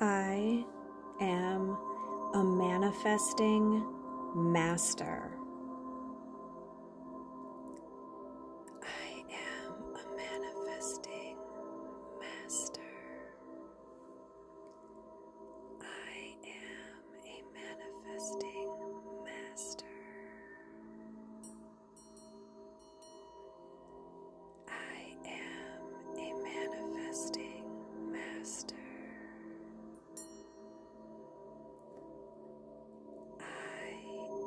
I am a manifesting master. I am a manifesting master. I am a manifesting master. I am a manifesting master. I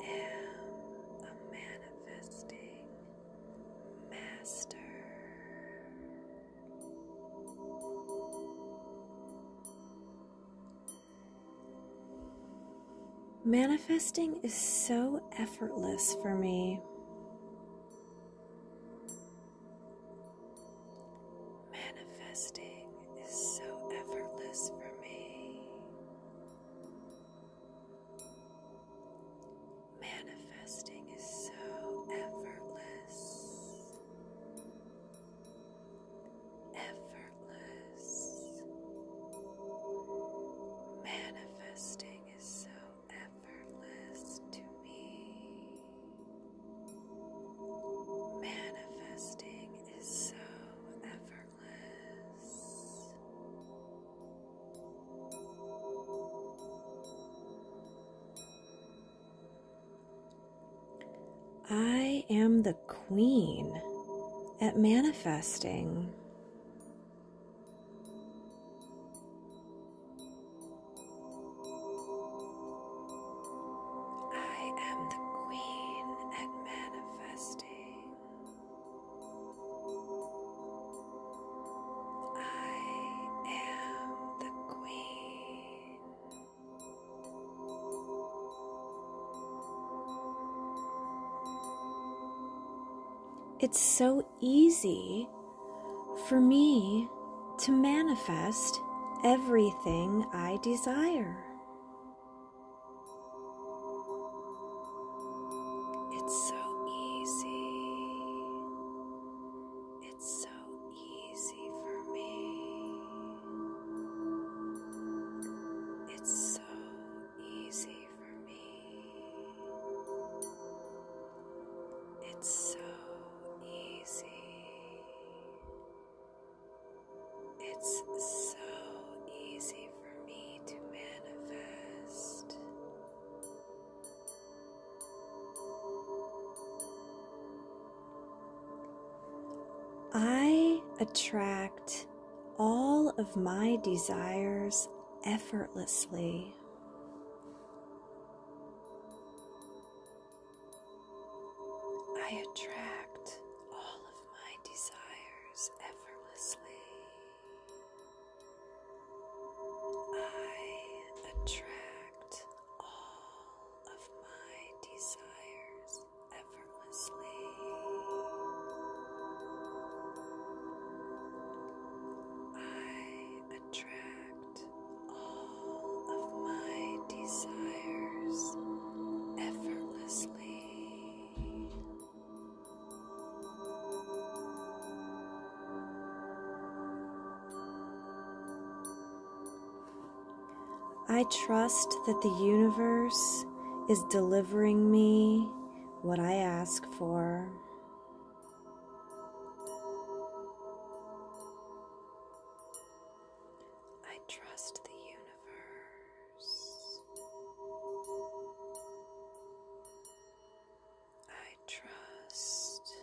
am a manifesting master. Manifesting is so effortless for me. Manifesting is so effortless for me. Manifesting is so effortless. Effortless. Manifesting is so effortless to me. Manifesting is so effortless. I am the queen at manifesting. I am the queen at manifesting. I am the Queen. It's so easy for me to manifest everything I desire. It's so easy. It's so easy for me. It's so easy for me. It's so easy. It's so easy for me to manifest. I attract all of my desires effortlessly. I attract all of my desires effortlessly. I attract all of my desires effortlessly. I attract all of my desires effortlessly. I trust that the universe is delivering me what I ask for. I trust the universe. I trust.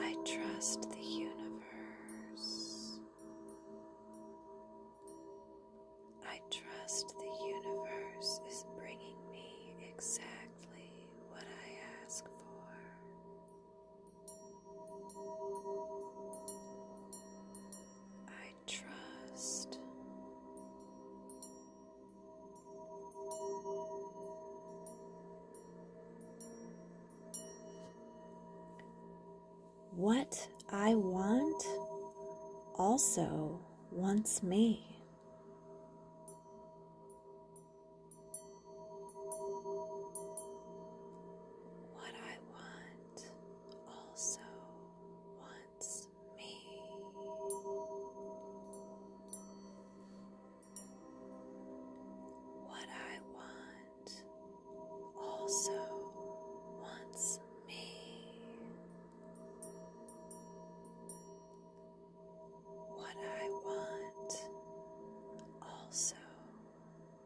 I trust the universe. I trust the universe is bringing me exactly what I ask for. I trust what I want also wants me. What I want also wants me. What I want also wants me. What I want also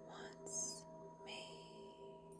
wants me.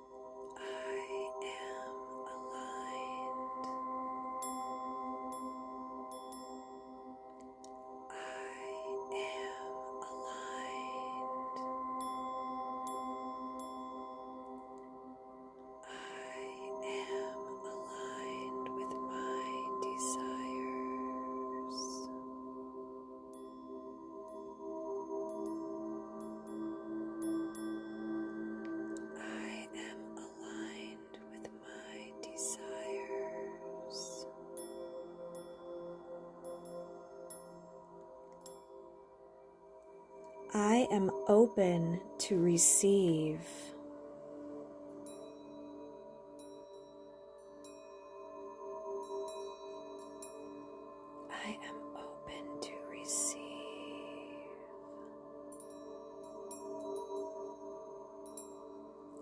I am aligned. I am aligned. I am aligned with my desires. I am aligned with my desires. I am open to receive. I am open to receive.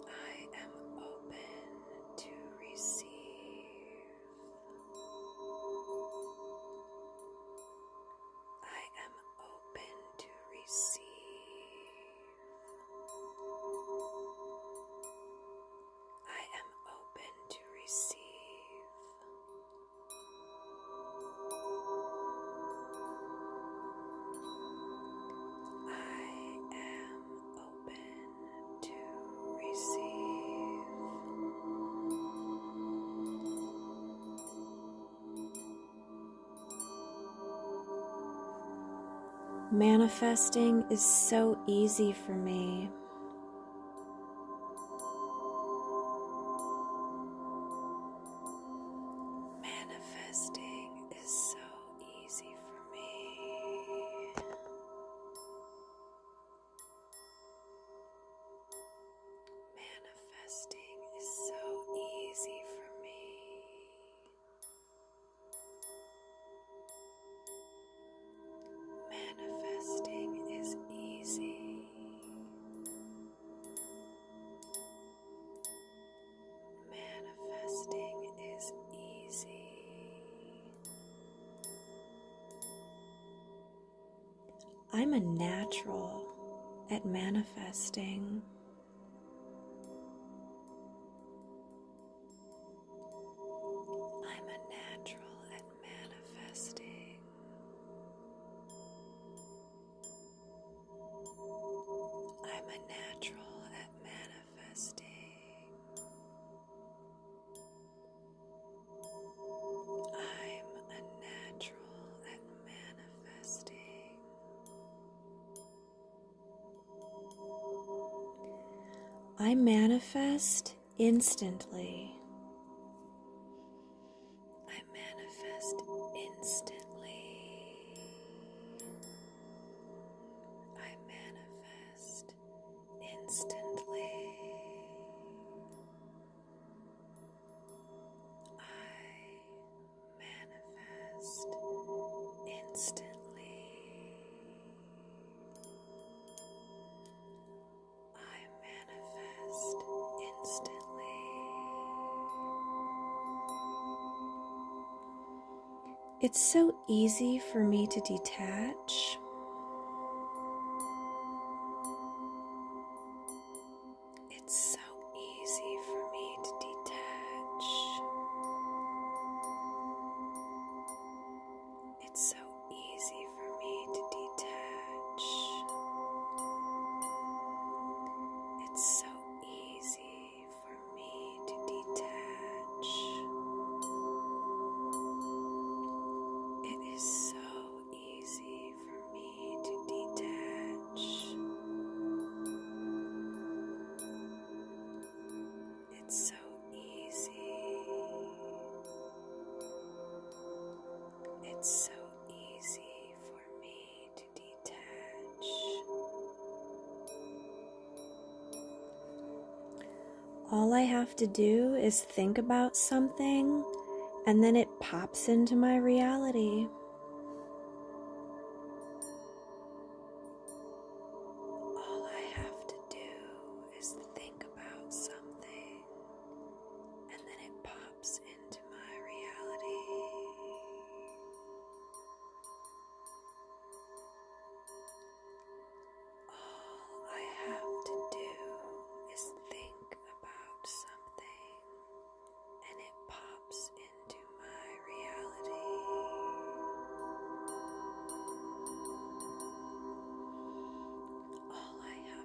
I am open to receive. I am open to receive. I am open to receive. I am open to receive. Manifesting is so easy for me. Manifesting is so easy for me. Manifesting is so easy for me. Manifesting is easy. Manifesting is easy. I'm a natural at manifesting. I'm a natural at manifesting. I'm a natural at manifesting. I'm a natural at manifesting. I manifest instantly. I manifest instantly. I manifest instantly. I manifest instantly. It's so easy for me to detach. It's so easy for me to detach. It's so easy for me to detach. It's so easy for me to detach. It is so easy for me to detach. It's so easy. It's so easy for me to detach. All I have to do is think about something, and then it pops into my reality. All I have to do is think about something, and then it pops into my reality. All I have to do is think about something, and it pops into my reality. All I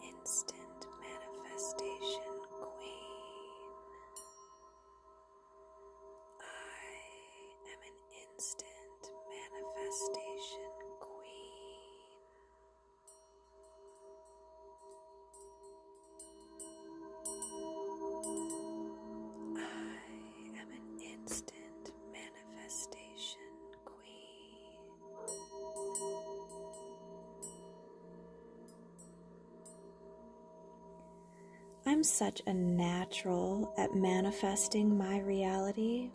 instant manifestation queen. I am an instant manifestation queen. I am an instant manifestation queen. I'm such a natural at manifesting my reality.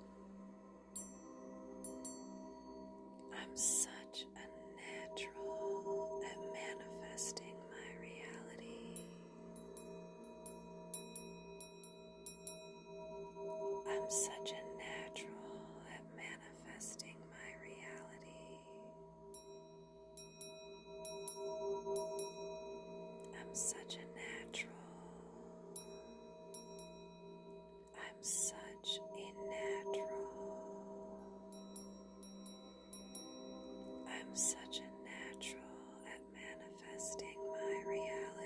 I'm such a natural at manifesting my reality. I'm such a natural at manifesting manifesting my reality. I'm such a natural. I'm such a natural. I'm such a natural at manifesting my reality.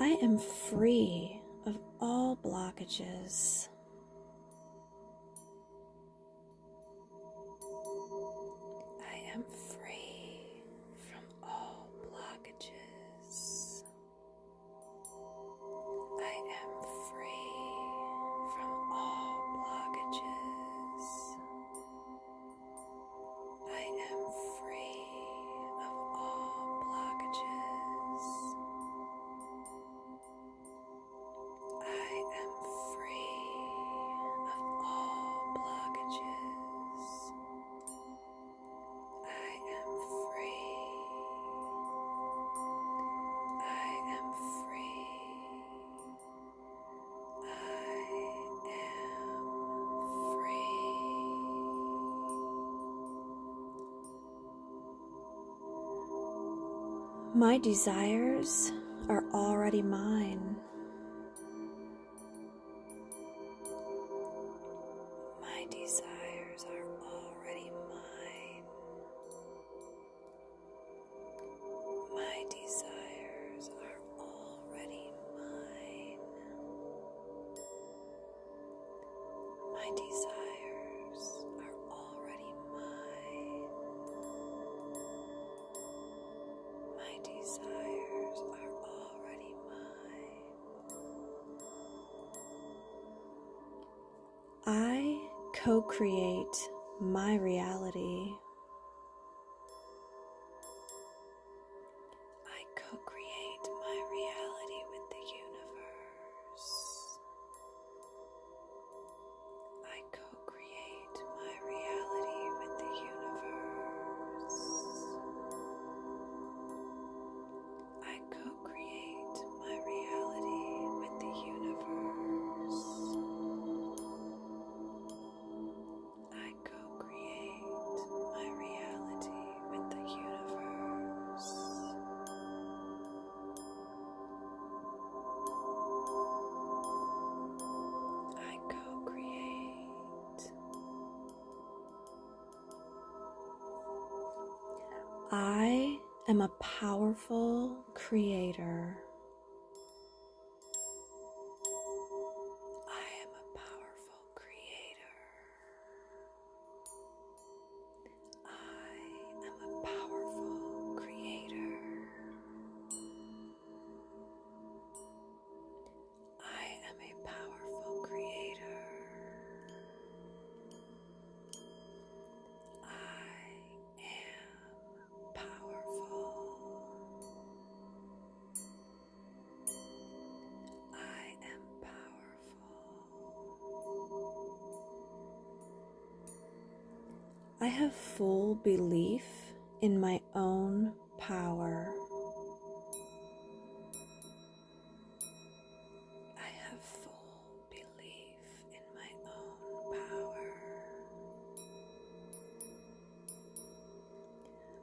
I am free of all blockages. I am free from all blockages. I am free from all blockages. I am free of all blockages. I am free of all blockages. I am free. I am free. My desires are already mine. My desires are already mine. My desires are are already mine. My desires are already mine. My desires are already mine. I co create my reality. I co create my reality with the universe. I co create my reality with the universe. I co create my reality with the universe. I co create my reality with the universe. I co create. I am a powerful creator. I am a powerful creator. I am a powerful creator. I am a powerful creator. I am powerful. I am powerful. I have full belief in my own power. I have full belief in my own power.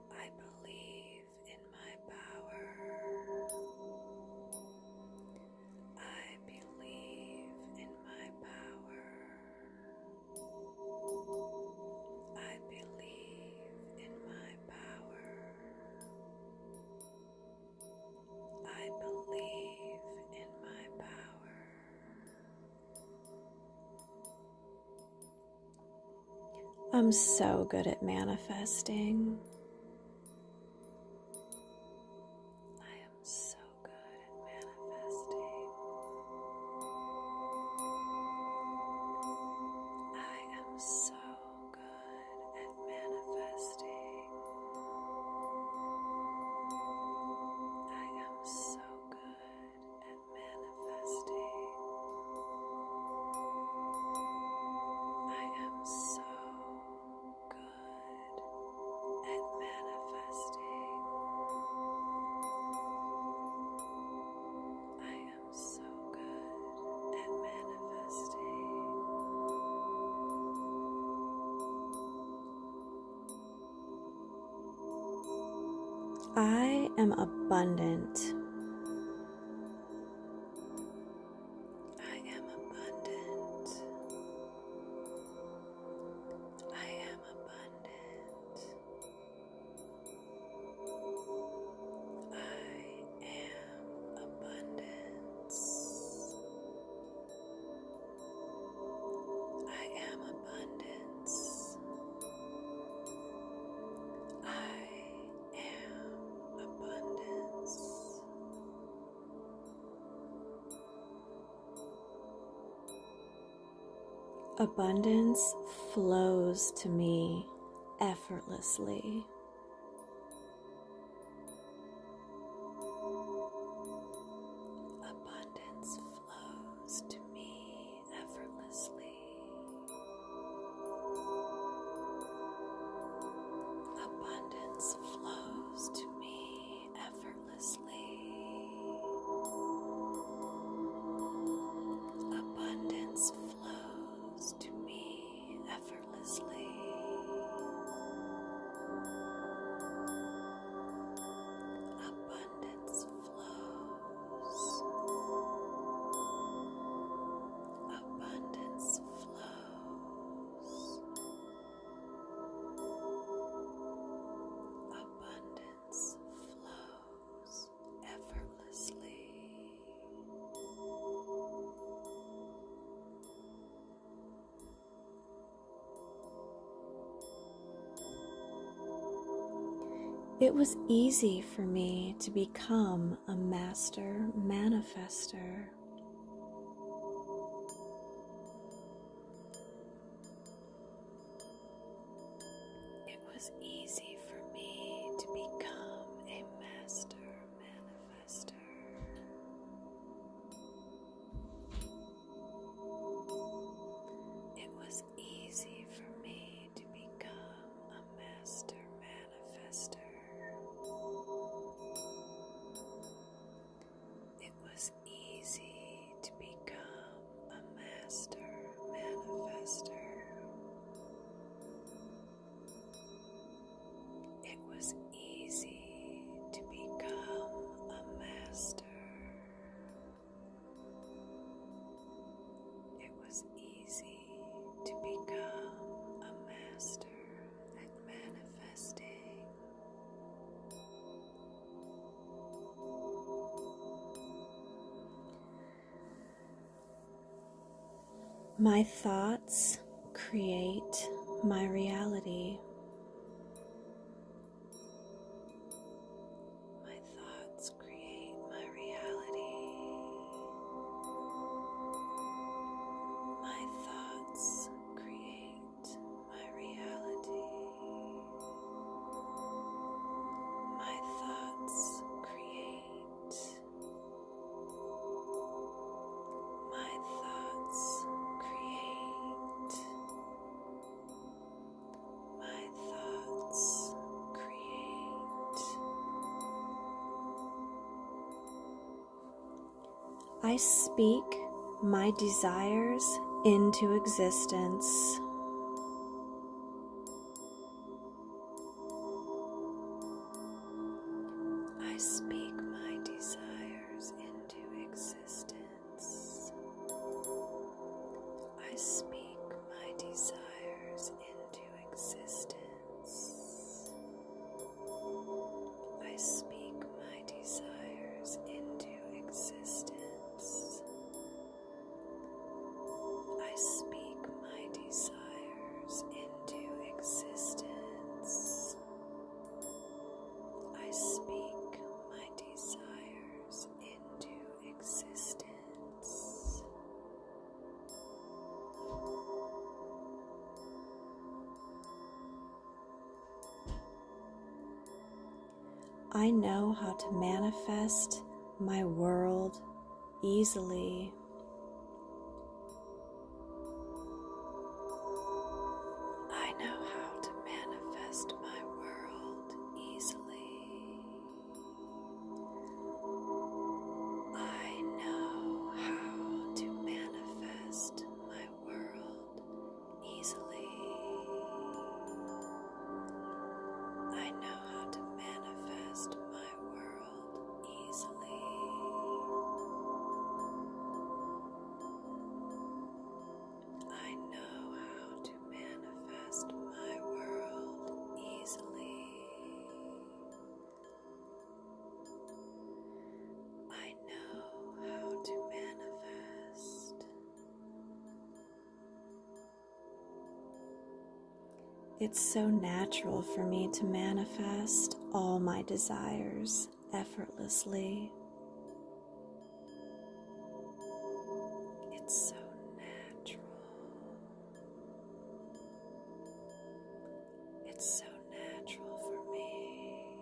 I believe in my power. I believe in my power. I believe in my power. I believe in my power. I'm so good at manifesting. I am so good at manifesting. I am so good at manifesting. I am so good good at manifesting. I am so good at manifesting. I am so good at manifesting. I am abundant. I am abundant. I am abundant. I am abundance. I am abundant. I am abundance. Abundance flows to me effortlessly. Abundance flows to me effortlessly abundance flows to me effortlessly abundance flows to me effortlessly abundance flows. Abundance flows. Abundance flows effortlessly. Abundance flows. It was easy for me to become a master manifester. It was easy for me to become a master manifester. It was easy for me to become a master manifester. It was easy to become a master manifester. It was easy to become a master it was easy to become a master at manifesting. My thoughts create my reality. My thoughts create my reality. My thoughts create my reality. My thoughts create. My thoughts create. My thoughts create. I speak my desires into existence. I speak my desires into existence. I speak my desires into existence. I speak my desires into existence. I speak my desires into existence. I speak my desires into existence. I know how to manifest my world easily. I know how to manifest my world easily. I know how to manifest my world easily. I know how to manifest my world easily. I know how to to manifest my world easily. I know how to manifest. It's so natural for me to manifest all my desires effortlessly. It's so natural. It's so natural for me.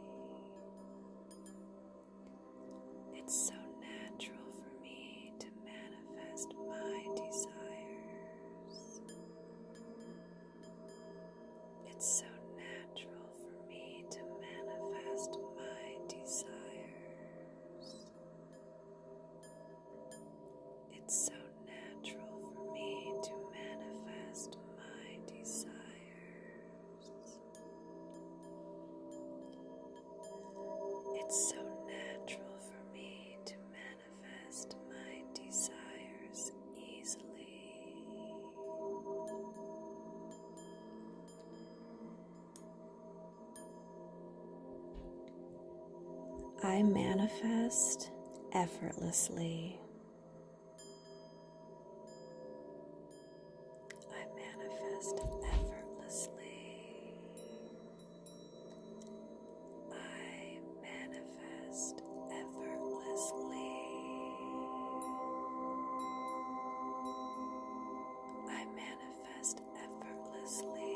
It's so natural for me to manifest my desires. It's so natural for me to manifest my desires. It's so natural for me to manifest my desires. It's so natural for me to manifest my desires easily. I manifest effortlessly. I manifest effortlessly. I manifest effortlessly. I manifest effortlessly.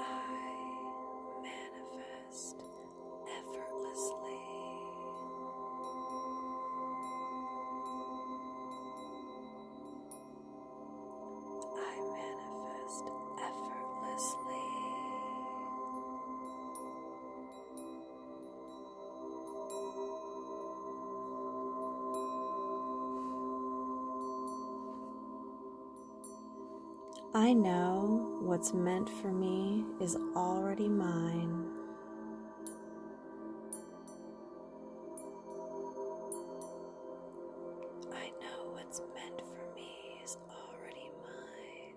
I manifest effortlessly. I manifest effortlessly. I know what's meant for me is already mine. I know what's meant for me is already mine.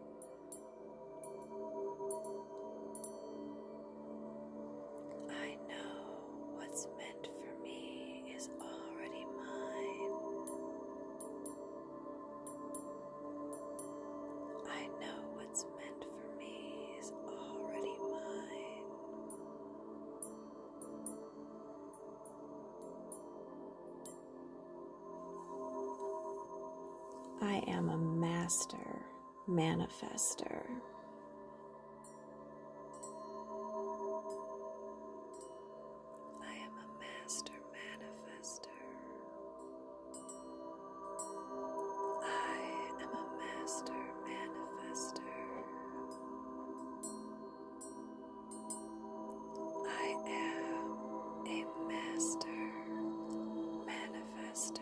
I know what's meant for me is already mine. I know what's meant for me is already mine. I am a master manifester. I am a master manifester. I am a master manifester. I am a master manifester.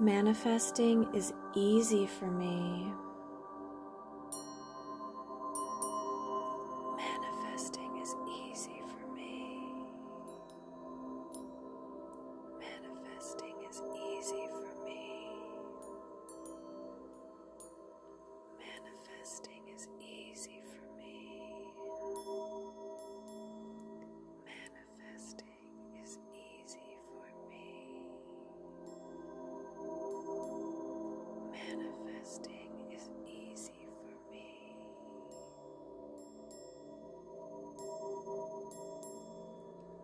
Manifesting is easy for me. Manifesting is easy for me. Manifesting is easy for me. Manifesting is easy for me. Manifesting manifesting is easy for me. Manifesting is easy for me.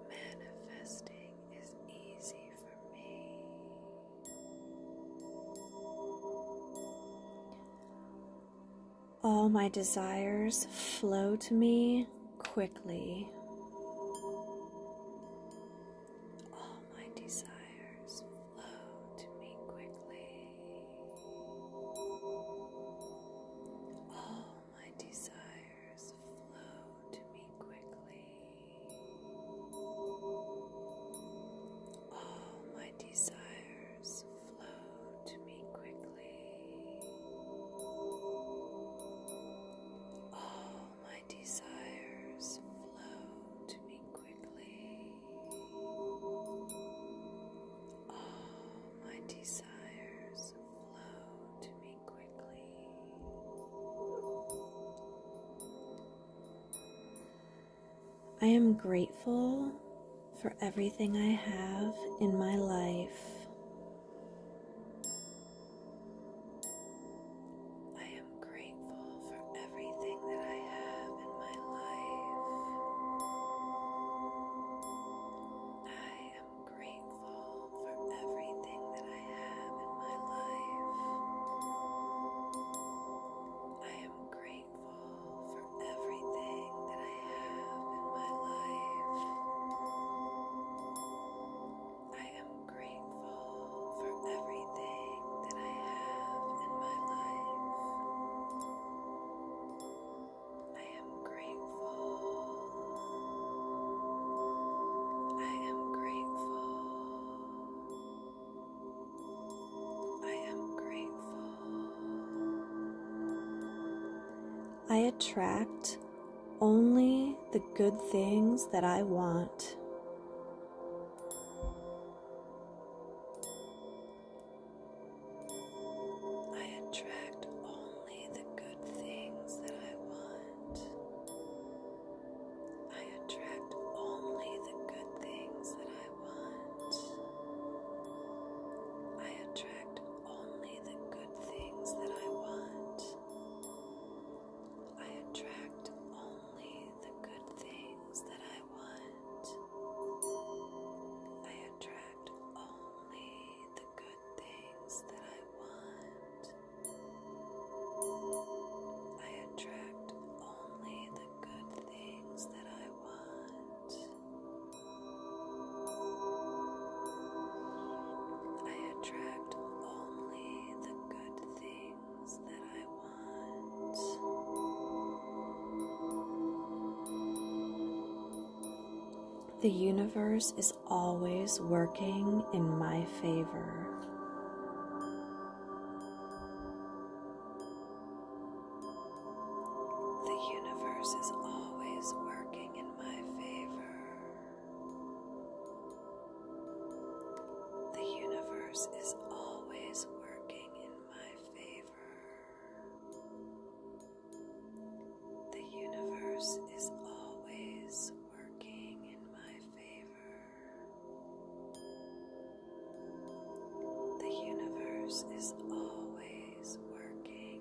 Manifesting is easy for me. All my desires flow to me quickly. All my desires flow to me quickly. All my desires flow to me quickly. All my desires waters flow to me quickly. All my desires flow to me quickly. All my desires flow to me quickly. I am grateful for everything I have in my life. I am grateful for everything that I have in my life. I am grateful for everything that I have in my life. I am grateful grateful for everything that I have in my life. I am grateful for everything that I have in my life. I am grateful. I am grateful. I am grateful. I attract only the good things that I want. I attract only the good things that I want. I attract only the good things that I want. I attract only the good things that I want. I attract only the good things that I want. I attract only the good things that I want. I attract only the good things that I want. I attract only the good things that I want. The universe is always working in my favor. The universe is always working in my favor. The universe is always working in my favor. The universe is always working in my favor. The universe is always working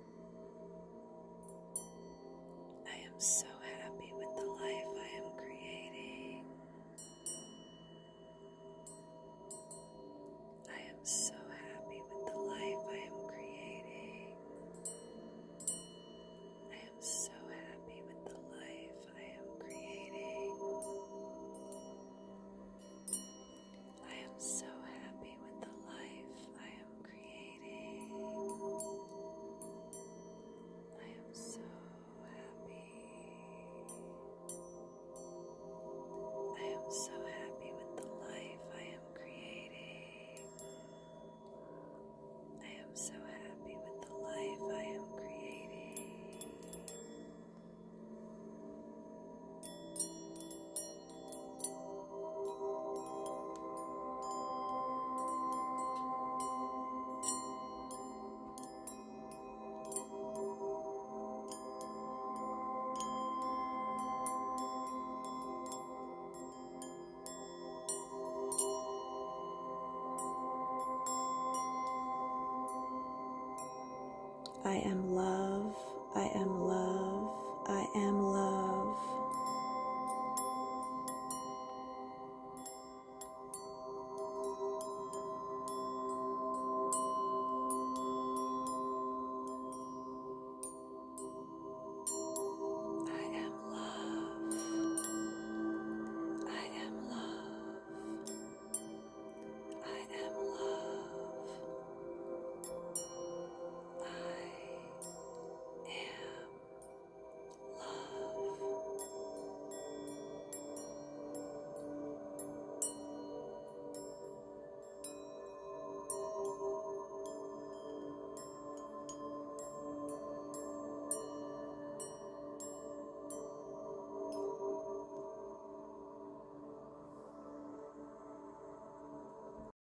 I am so happy with the life I am creating. I am so happy with the life I am creating. I am so happy with the life I am creating. I am so happy with the life I am creating. I am so happy. I am so happy with the life I am creating. I am so happy with the life I am creating. I am love. I am love. I am love. I I am love.